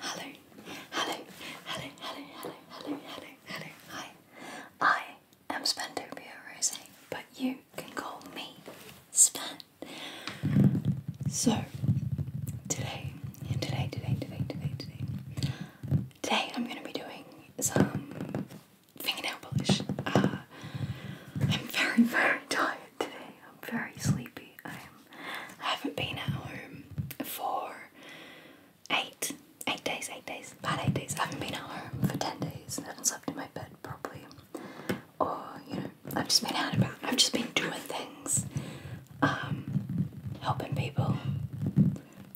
Hello, hello, hello, hello, hello, hello, hello, hello. Hi, I am Spandopia Rose, but you can call me Span. So today, today, today, today, today, today, today, I'm going to be doing some fingernail polish. Uh, I'm very, very tired today. I'm very sleepy. I I haven't been at home for eight, eight days, eight days, about eight days. I haven't been at home for ten days. I have slept in my bed properly. Or, you know, I've just been out and about. I've just been doing things. Um, helping people.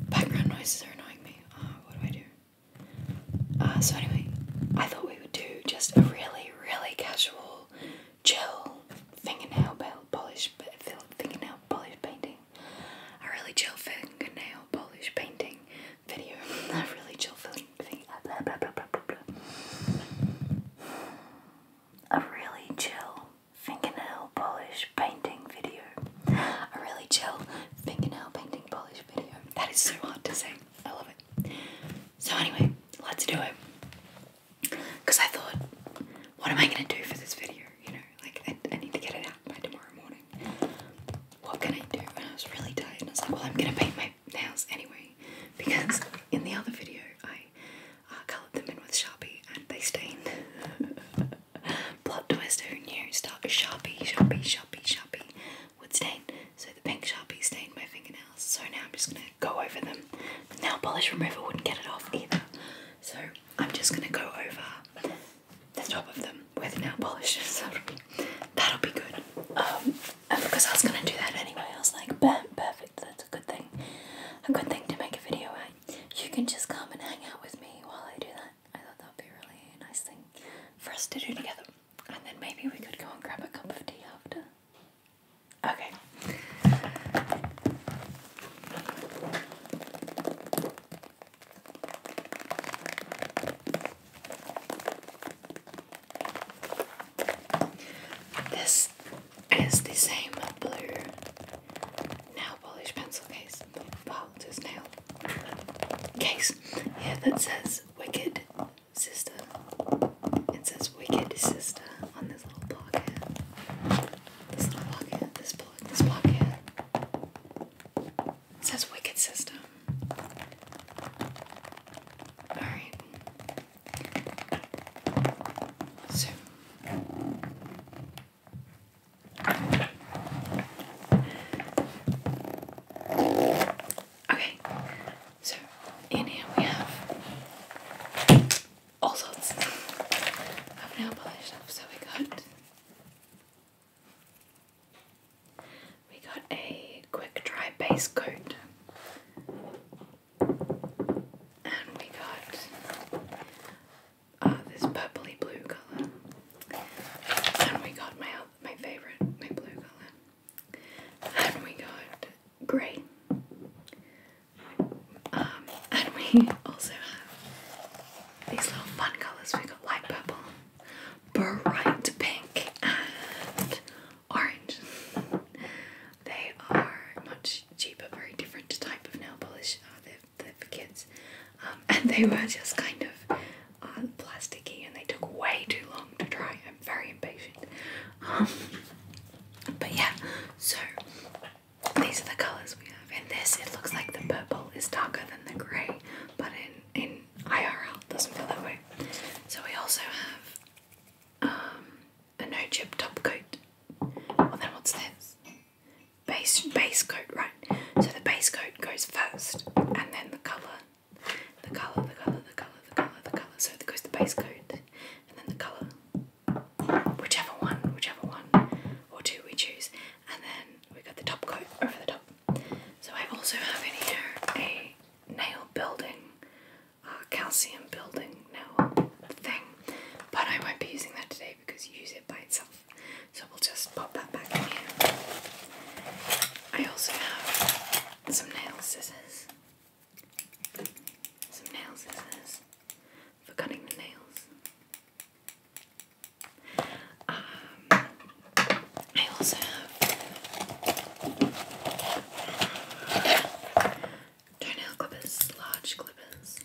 Background noises are annoying me. Ah, what do I do? Ah, so anyway, I thought we would do just a really, really casual chill fingernail polish, fingernail polish painting. I really chill fingernail polish painting video. I really chill thing. A really chill fingernail polish painting video. A really chill fingernail painting polish video. That is so hard to say. I love it. So anyway, let's do it because I thought, what am I going to do for this video? You know, like I, I need to get it out by tomorrow morning. What can I do? And I was really tired. And I was like, well, I'm going to paint my nails anyway, because in the other video I uh, coloured them in with Sharpie and they stained. Plot twist, Oh knew? Start with Sharpie, Sharpie, Sharpie, Sharpie would stain. So the pink Sharpie stained my fingernails. So now I'm just going to go over them. The nail polish remover wouldn't get it off either. So I'm just gonna go over the top of them with nail polish. So that'll be good. Um, because I was gonna do that anyway, I was like, perfect. That's a good thing. A good thing to make a video at. You can just come and hang out with me while I do that. I thought that'd be a really nice thing for us to do together. And then maybe we could go and grab a cup of tea after. Okay. This is the same blue nail polish pencil case. Well, nail case. Yeah, that says Wicked Sister. It says wicked system on this little block This little block this block, this block says wicked sister. Alright. So Okay, so in here we have all sorts of nail polish stuff. So we got we got a quick dry base coat. And we got uh, this purpley blue colour. And we got my my favourite, my blue colour. And we got grey. Um, and we also have these little fun colours. got light purple, bright pink, and orange. they are much cheaper, very different type of nail polish. Uh, they're, for kids. Um, and they were just kind of uh, plasticky and they took way too long to dry. I'm very impatient. Um, but yeah, so these are the colors we have. In this, it looks like the purple is darker than the grey, but in in IRL it doesn't feel that way. So we also have um, a no chip top coat. And then, what's this? Base base coat, right? So the base coat goes first, and then the color, the color, the color, the color, the color, the color. So it goes the base coat, and then the color, whichever one, whichever one or two we choose, and then we have got the top coat over the top. So I also have in here a nail building, uh, calcium building nail thing, but I won't be using that today because you use it by itself. So we'll just pop that back in here. I also have some nail scissors some nail scissors for cutting the nails. Um, I also have toenail clippers, large clippers.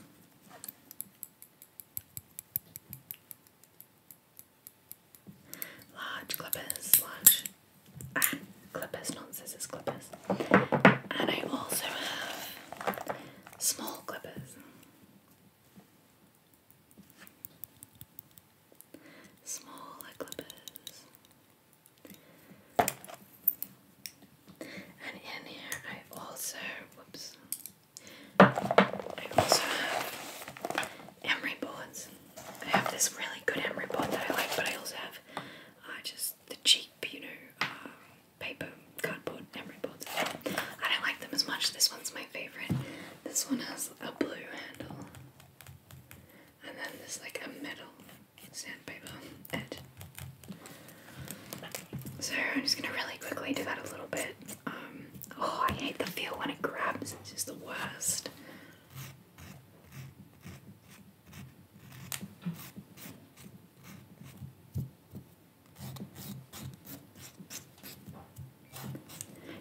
Large clippers, large ah, clippers, not scissors, clippers. And I also have small clippers. small clippers. And in here I also, whoops, I also have emery boards. I have this really good emery board that I like, but I also have uh, just the cheap, you know, uh, paper, cardboard memory board. I don't like them as much. This one's my favourite. This one has a blue handle. And then there's like a metal sandpaper edge. So I'm just gonna really quickly do that a little bit. Um, oh, I hate the feel when it grabs. It's just the worst.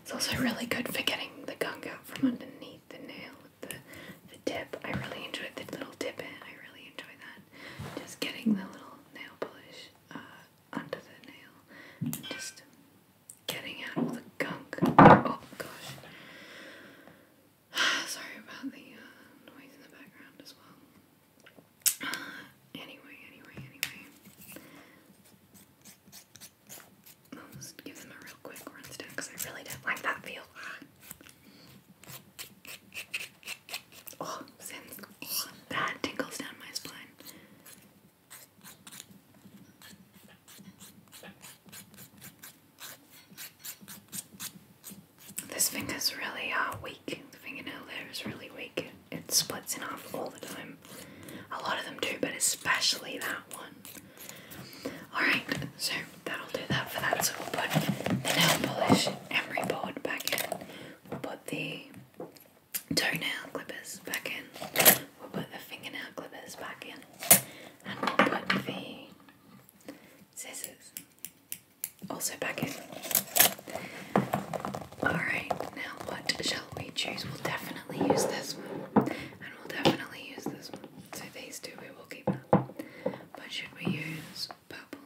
It's also really good for getting the gunk out from underneath the nail with the, the tip. I really enjoy the little tip I really enjoy that. Just getting the little nail polish uh, under the nail. And just getting out all the gunk. Oh gosh. Sorry about the uh, noise in the background as well. Uh, anyway, anyway, anyway. I'll just give them a real quick rinse because I really don't like that feel. Oh, since oh, that tinkles down my spine. This finger is really uh, weak. The fingernail there is really weak. It splits in half all the time. A lot of them do, but especially that one. Alright, so that'll do that for that. So we'll put the nail polish emery board back in. We'll put the toenail clippers back in. We'll put the fingernail clippers back in. And we'll put the scissors also back in. Alright, now what shall we choose? We'll definitely use this one. And we'll definitely use this one. So these two we will keep But should we use purple?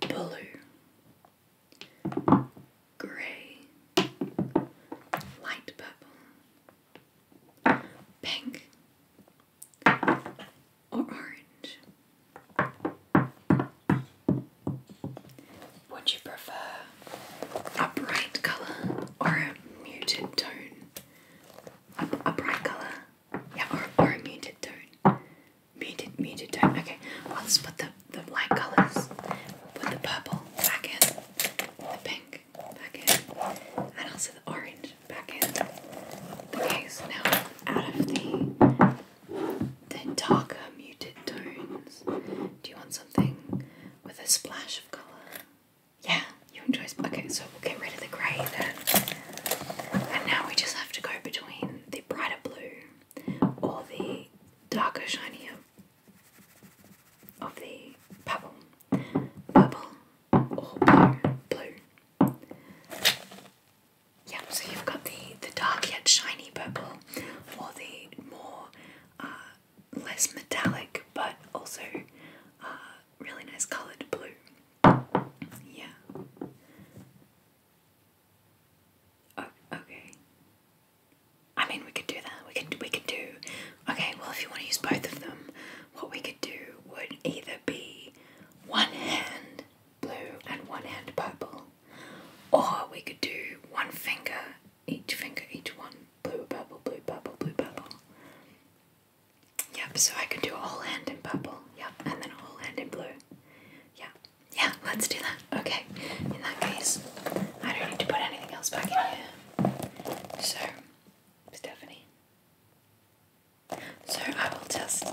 Blue. Grey. Light purple. Pink or orange? Would you prefer a bright colour or a muted tone? A, a bright colour? Yeah, or, or a muted tone. Muted, muted tone. Okay, well, let's put the, the light colours. Put the purple back in, the pink back in, and also the orange back in the case now out of the the darker muted tones. Do you want something with a splash of colour? Yeah, you enjoy okay, so we'll get rid of the grey then. And now we just have to go between the brighter blue or the darker shinier of the bubble, bubble or oh, blue, blue. Yeah, so you've got the the dark yet shiny purple, or the more uh, less metallic but also uh, really nice coloured blue. Yeah. Oh, okay. I mean, we could do that. We could we could do. Okay, well, if you want to use both of them, what we could do would either be one hand blue and one hand purple. Or we could do one finger, each finger, each one. Blue, purple, blue, purple, blue, purple. Yep, so I can do a whole hand in purple, yep, and then a whole hand in blue. Yeah, yeah, let's do that. Okay, in that case, I don't need to put anything else back in here. So, Stephanie, so I will just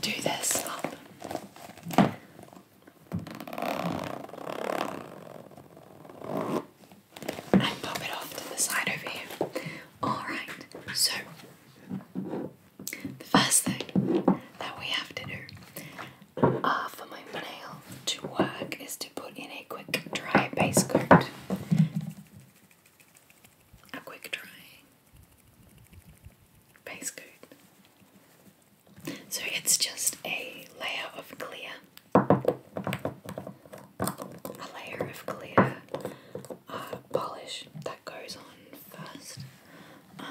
do this up. And pop it off to the side over here. Alright, so the first thing that we have to do uh, for my nail to work is to put in a quick dry base coat a quick dry base coat. So it's just a layer of clear, a layer of clear uh, polish that goes on first, um,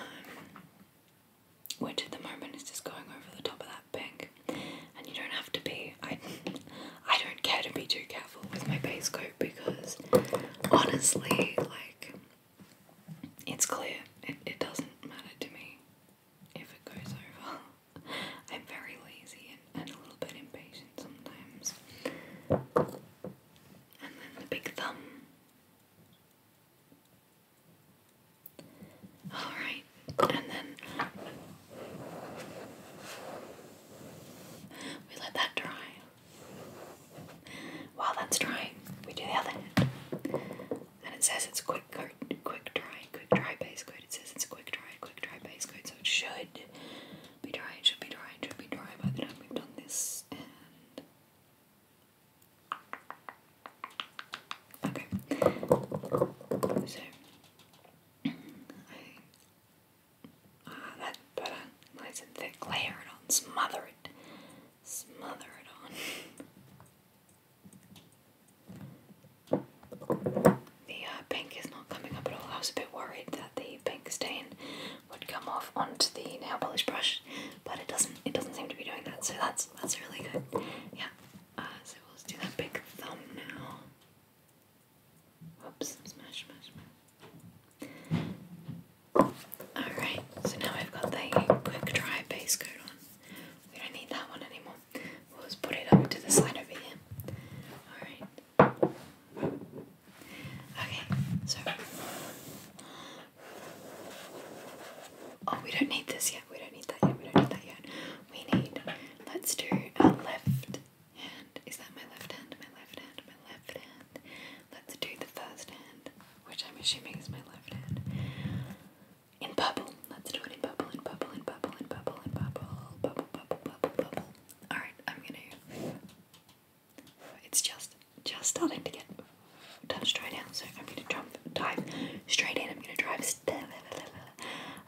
which at the moment is just going over the top of that pink. And you don't have to be. I don't care to be too careful with my base coat because honestly, like, it's clear. It, it doesn't matter to me if it goes over. I'm very lazy and, and a little bit impatient sometimes. And then the big thumb. Alright, and then we let that dry. While that's drying, we do the other And it says it's quick coat, quick dry, quick dry base coat. It says it's quick dry, quick dry base coat, so it should be dry, it should be dry, it should be dry by the time we've done this. Okay, so Ah, that put nice and thick layer on. Smother it. Smother it on. the uh, pink is not coming up at all. I was a bit worried that the pink stain would come off onto the nail polish brush, but it doesn't. It doesn't seem to be doing that. So that's that's really good. Yeah. Uh, so we'll just do that big thumb now. Alright, so now we've got the quick dry base coat on. We don't need that one anymore. We'll just put it up to the side over here. Alright. Okay, so. Oh, we don't need this yet. We don't need that yet. We don't need that yet. We need. Let's do a lift hand. Is that my left hand? My left hand? My left hand? Let's do the first hand, which I'm assuming is my left hand. In bubble. Let's do it in bubble, in bubble, in bubble, in bubble, in bubble, bubble, bubble, bubble, bubble. Alright, I'm gonna. It's just just starting to get touched right now, so I'm gonna jump, dive straight in. I'm gonna drive. i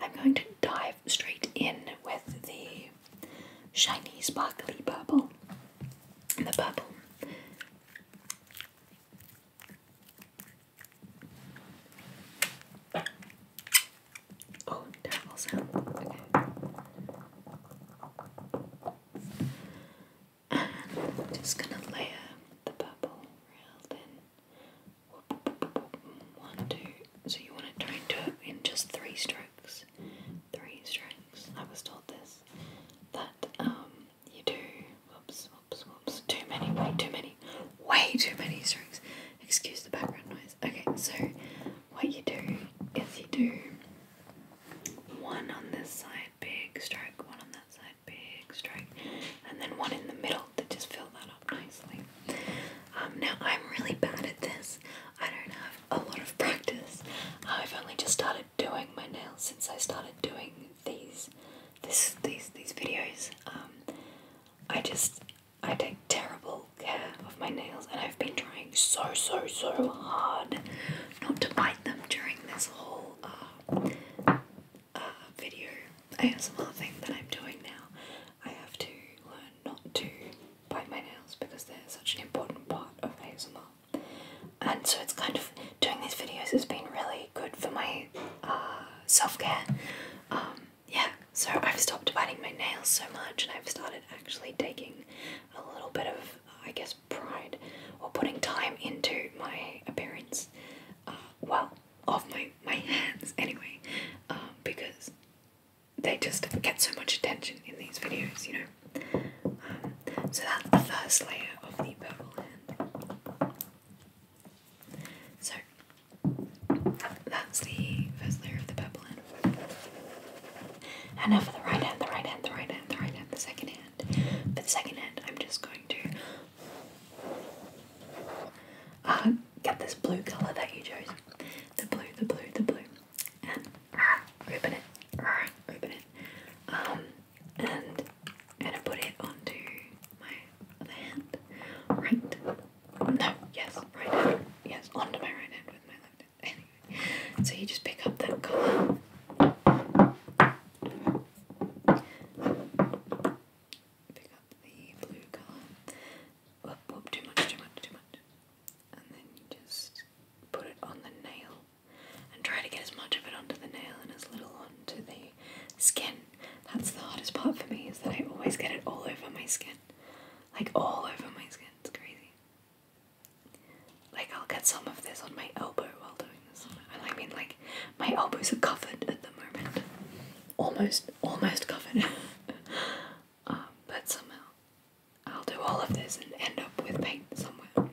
I'm going to dive straight in with the shiny sparkly purple. And the purple Oh, terrible sound. Okay. And I'm just gonna layer the purple real thin. One, two. So you want to try and do it in just three strokes three strikes. I was told this that um you do whoops whoops whoops too many way too many way too many strikes. Excuse the background noise. Okay, so what you do is you do one on this side, big strike, one on that side, big strike, and then one in the middle that just fill that up nicely. Um, now I'm really bad at this. I don't have a lot of practice. I've only just started doing my nails since I started doing these this these these videos. Um, I just I take terrible care of my nails and I've been trying so so so hard not to bite them during this whole uh, uh, video ASMR thing that I'm doing now. I have to learn not to bite my nails because they're such an important part of ASMR. And so it's kind of doing these videos has been really good for my uh, self care. Um, yeah, so I've stopped biting my nails so much and I've started actually taking a little bit of, I guess, pride or putting time into my appearance. Uh, well, of my, my hands anyway, um, because they just get so much attention in these videos, you know. Um, so that's the first layer of the purple hand. So that's the first layer of the purple hand. And now for the right hand, the right hand, the right hand, the right hand, the second hand. For the second hand, I'm just going to uh, get this blue colour that you chose. The blue, the blue, the blue and open it, open it, um, and and I put it onto my other hand, right? No, yes, right yes, onto my right hand with my left hand. Anyway, so you just pick up that color. Pick up the blue color. too much, too much, too much and then you just put it on the nail and try to get as much of it onto the nail and as little onto the skin. That's the hardest part for me is that I always get it all over my skin. Like all over my skin. It's crazy. Like I'll get some of this on my elbow while doing this. and I mean like my elbows are covered at the moment. Almost almost covered. Um, but somehow I'll do all of this and end up with paint somewhere.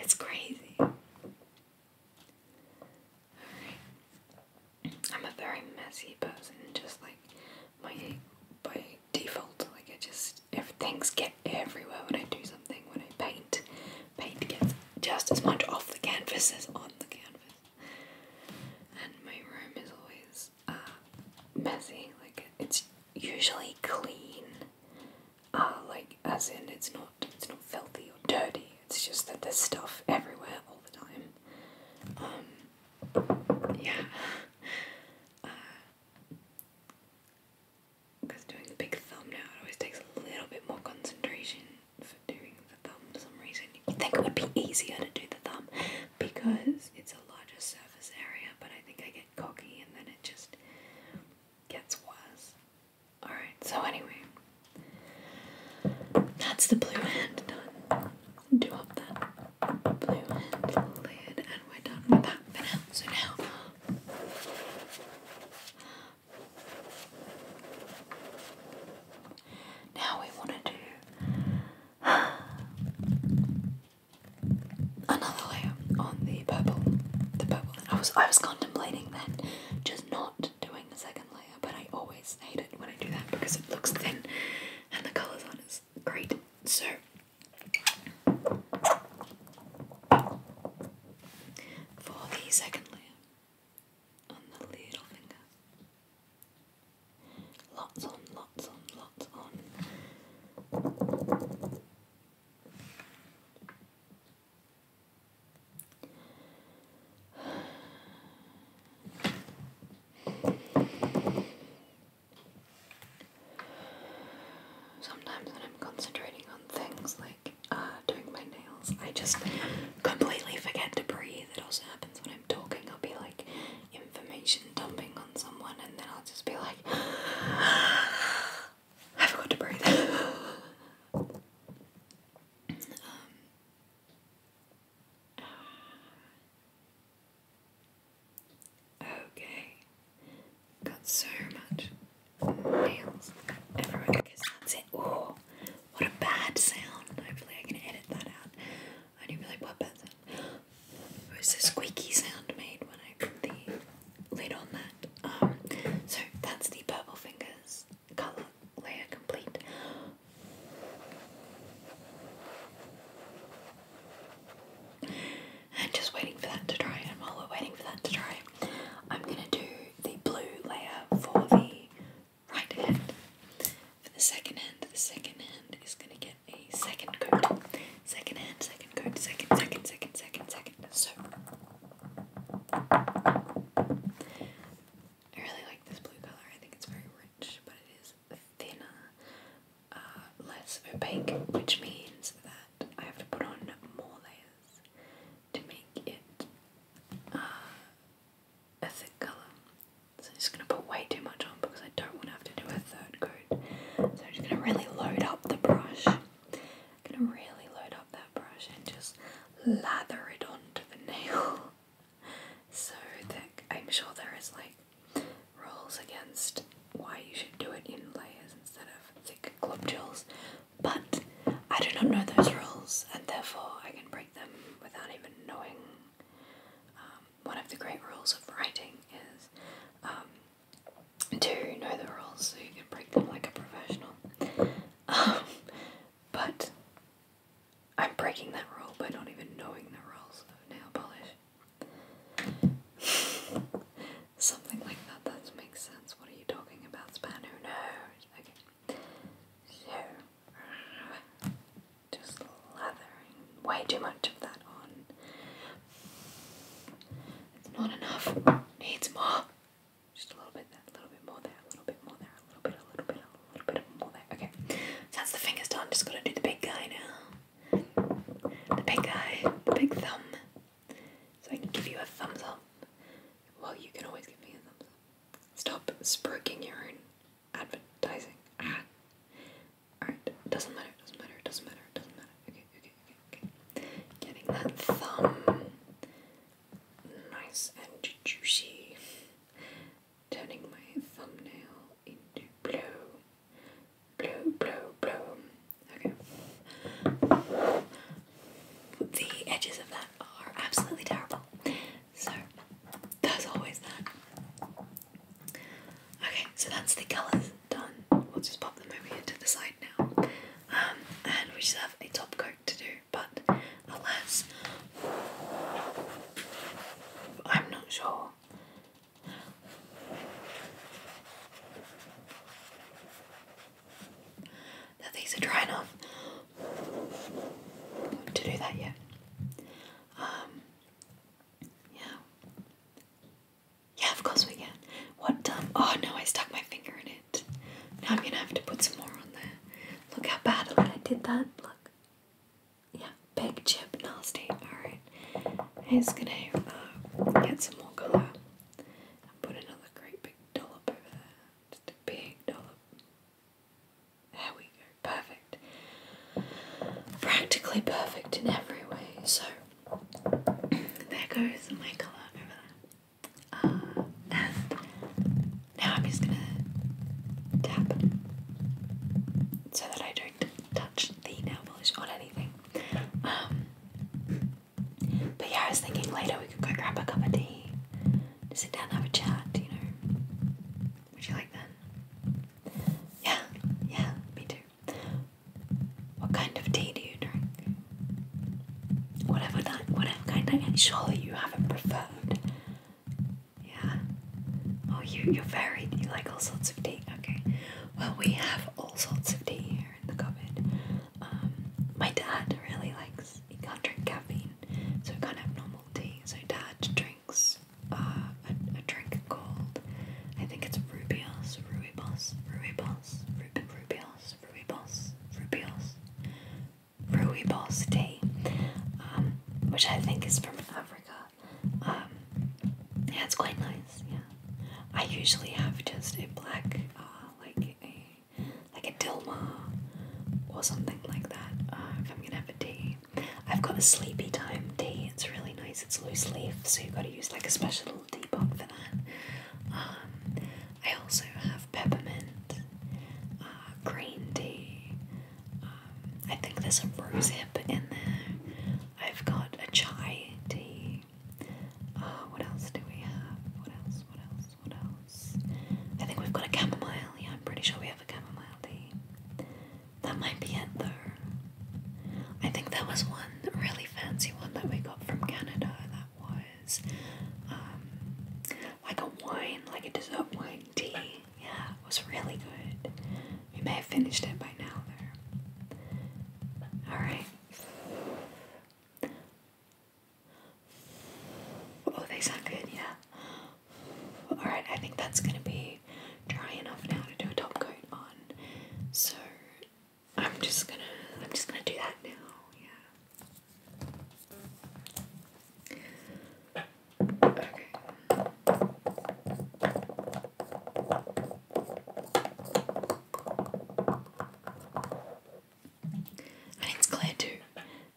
It's crazy. I'm a very messy person, just like my by default. Like I just things get everywhere when I do something, when I paint, paint gets just as much off the canvas as on the canvas. And my room is always uh, messy. Like it's usually clean. Uh, like as in it's not it's not filthy or dirty. It's just that there's stuff everywhere all the time. Um, yeah. Because uh, doing the big thumb now, it always takes a little bit more concentration for doing the thumb for some reason. you think it would be easier to do the thumb, because it's a larger surface area, but I think I get cocky and then it just gets worse. Alright, so anyway, that's the blue hand done. Do up that blue hand lid, and we're done with that So now. Now we want to do another layer on the purple, the purple. I was I was contemplating then just not doing the second layer, but I always hate it when I do that because it looks thin and the colours aren't as great. So for the second layer on the little finger. Lots on, lots on, lots on. Sometimes when I'm concentrating on things like uh, doing my nails, I just completely forget to breathe. It also happens when I'm talking. I'll be like information dumping on someone, and then I'll just be like, I forgot to breathe. Um, okay, got so much nails everywhere. I that's it. Oh, what a bad sound. Hopefully, I can edit that out. I do really put that in. It's a squeaky sound made when I put the lid on that. Um, so that's the Purple Fingers colour layer complete. And just waiting for that to dry. And while we're waiting for that to dry, I'm gonna do the blue layer for the right hand. For the second hand, the second hand is gonna get a second coat. Second hand, second coat, second, second, second, second, second. So I really like this blue colour. I think it's very rich, but it is thinner, uh, less opaque, which means that I have to put on more layers to make it uh, a thick colour. So I'm just going to put way too much on because I don't want to have to do a third coat. So I'm just gonna really load up the brush. I'm gonna really load up that brush and just lather it onto the nail. so thick. I'm sure there is like rules against why you should do it in layers instead of thick globules, but I do not know those rules and therefore I can break them without even knowing um, one of the great rules of writing is to um, know the rules so you can break them like a professional. Um, but I'm breaking that rule by not even knowing the rules of nail polish. Something like that, that makes sense. What are you talking about, Span? Who Okay. So, just lathering way too much of that on. It's not enough. Needs more. Just a little bit there, a little bit more there, a little bit more there, a little bit, a little bit, a little bit more there. Okay. that's the fingers done. Just gotta do the big guy now. The big guy, the big thumb. So I can give you a thumbs up. Well, you can always give me a thumbs up. Stop spruiking your own advertising. Ah. Alright, doesn't matter, doesn't matter, doesn't matter, doesn't matter. Okay, okay, okay, okay. Getting that thumb nice and juicy. Turning my thumbnail into blue. Blue, blue, blue. Okay. The edges of that are absolutely terrible. So, there's always that. Okay, so that's the colours done, we'll just pop them over to the side now. Um, and we just have a top coat to do, but alas, I'm not sure. That these are dry enough to do that yet. Um, yeah. Yeah, of course we can. What Oh no, I stuck my finger in it. Now I'm gonna have to put some more on there. Look how badly I did that. Look. Yeah, big chip, nasty. Alright. I'm just gonna uh, get some more colour put another great big dollop over there. Just a big dollop. There we go. Perfect. Practically perfect in every way. So there goes my colour over uh, now I'm just gonna tap so that I don't touch the nail polish on anything. Um, but yeah, I was thinking later we could go grab a cup of tea, just sit down have a chat, you know. Would you like that? Yeah, yeah, me too. What kind of tea do you drink? Whatever that, whatever kind. I mean, surely you haven't preferred. Yeah. Oh, you you're very you like all sorts of tea. Okay. Well, we have all sorts of tea here in the cupboard. Um, my dad really likes. He can't drink caffeine, so we can have normal tea. So dad drinks uh, a, a drink called, I think it's Rubios, Ruibos, Ruibos, Rub Rubios, Ruibos, Rubios, Ruibos tea, um, which I think is from Africa. Um, it's quite nice. Yeah, I usually have just a black, uh, like a like a Dilma or something like that. Uh, if I'm gonna have a tea, I've got a sleepy time tea. It's really nice nice. It's loose leaf, so you've got to use like a special little debug for that. Um, I also have peppermint, uh, green tea. Um, I think there's a rose hip in there. I've got a chai tea. Uh, what else do we have? What else? What else? What else? I think we've got a chamomile. Yeah, I'm pretty sure we have a chamomile tea. That might be it though. I think there was one really fancy one that we got from Canada that was um, like a wine, like a dessert wine tea. Yeah, it was really good. We may have finished it by now though. Alright. Oh, they sound good, yeah. Alright, I think that's gonna be dry enough now to do a top coat on. So I'm just gonna I'm just gonna do that now, yeah. Okay. And it's clear too,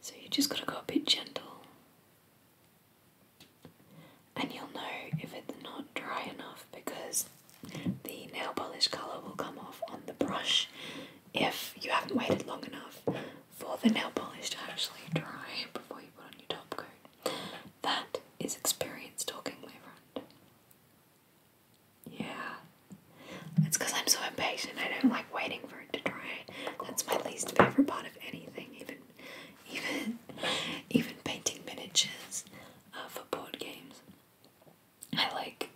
so you just gotta go a bit gentle and you'll know if it's not dry enough because the nail polish colour will come off on the brush if you haven't waited long enough for the nail polish to actually dry before you put on your top coat. That is experience talking, my friend. Yeah. It's because I'm so impatient. I don't like waiting for it to dry. That's my least favourite part of anything, even even even painting miniatures for board games. I like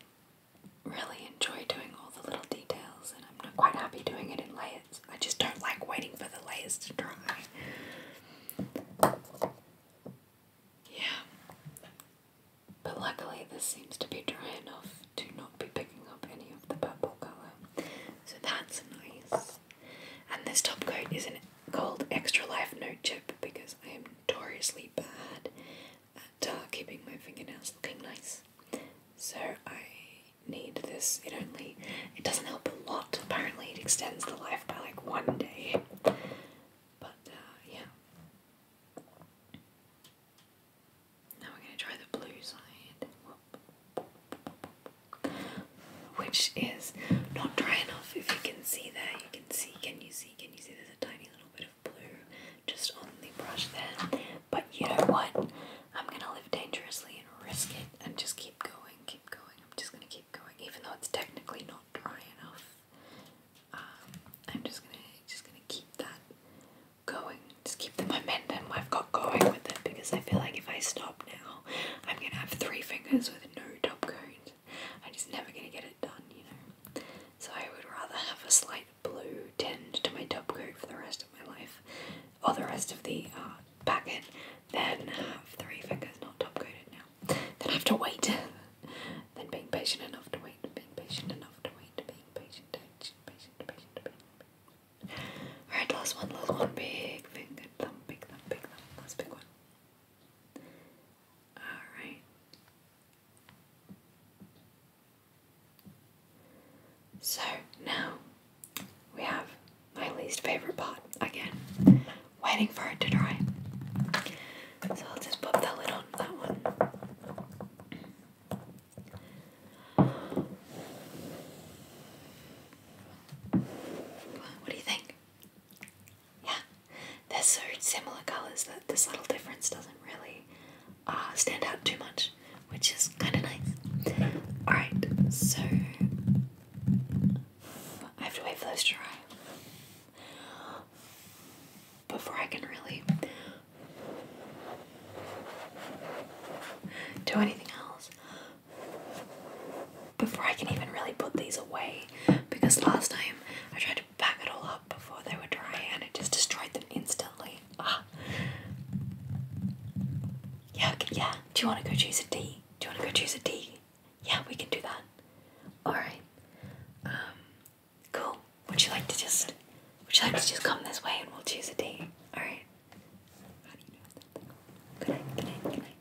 really enjoy doing all the little details, and I'm not quite happy doing it in layers. I just don't like waiting for the layers to dry. Yeah. But luckily, this seems to be dry enough to not be picking up any of the purple colour. So that's nice. And this top coat is an, called Extra Life Note Chip because I am notoriously bad at uh, keeping my fingernails looking nice. So I need this. It only it doesn't help a lot. Apparently, it extends the life by like one day. But uh, yeah. Now we're gonna try the blue side which is not dry enough. If you can see there, you can see, can you see, can you see there's a tiny little bit of blue just on the brush there. But you know what? I'm gonna live dangerously and risk it and just keep going, keep going. I'm just gonna keep going, even though it's technically not dry enough. Um, I'm just gonna just gonna keep that going. Just keep the momentum I've got going with it because I feel like if I stop now, I'm gonna have three fingers with no top cones it. I'm just never gonna get it done, you know. So I would rather have a slight blue tinge to my top coat for the rest of my life, or the rest of the uh, packet, than have three fingers not top coated now. Then have to wait. then being patient enough to wait, being patient enough to wait, being patient, patient, patient, patient, patient. Alright, last one, last one. Big finger, thumb, big thumb, big thumb. Last big one. All right. So now we have my least favorite pot again, waiting for it to dry. So I'll just pop that lid on that one. What do you think? Yeah, they're so similar colours that this little difference doesn't really uh, stand out too much, which is kind of nice. Alright, so I have to wait for those to dry before I can really do anything else before I can even really put these away because last time I tried to pack it all up before they were dry and it just destroyed them instantly. Ah. Yeah, yeah. Do you want to go choose a D? Do you want to go choose a D? Yeah, we can do that. Alright. Um, cool. Would you like to just would you like to just come this way and we'll choose a D? Alright. Good night, good night, good night.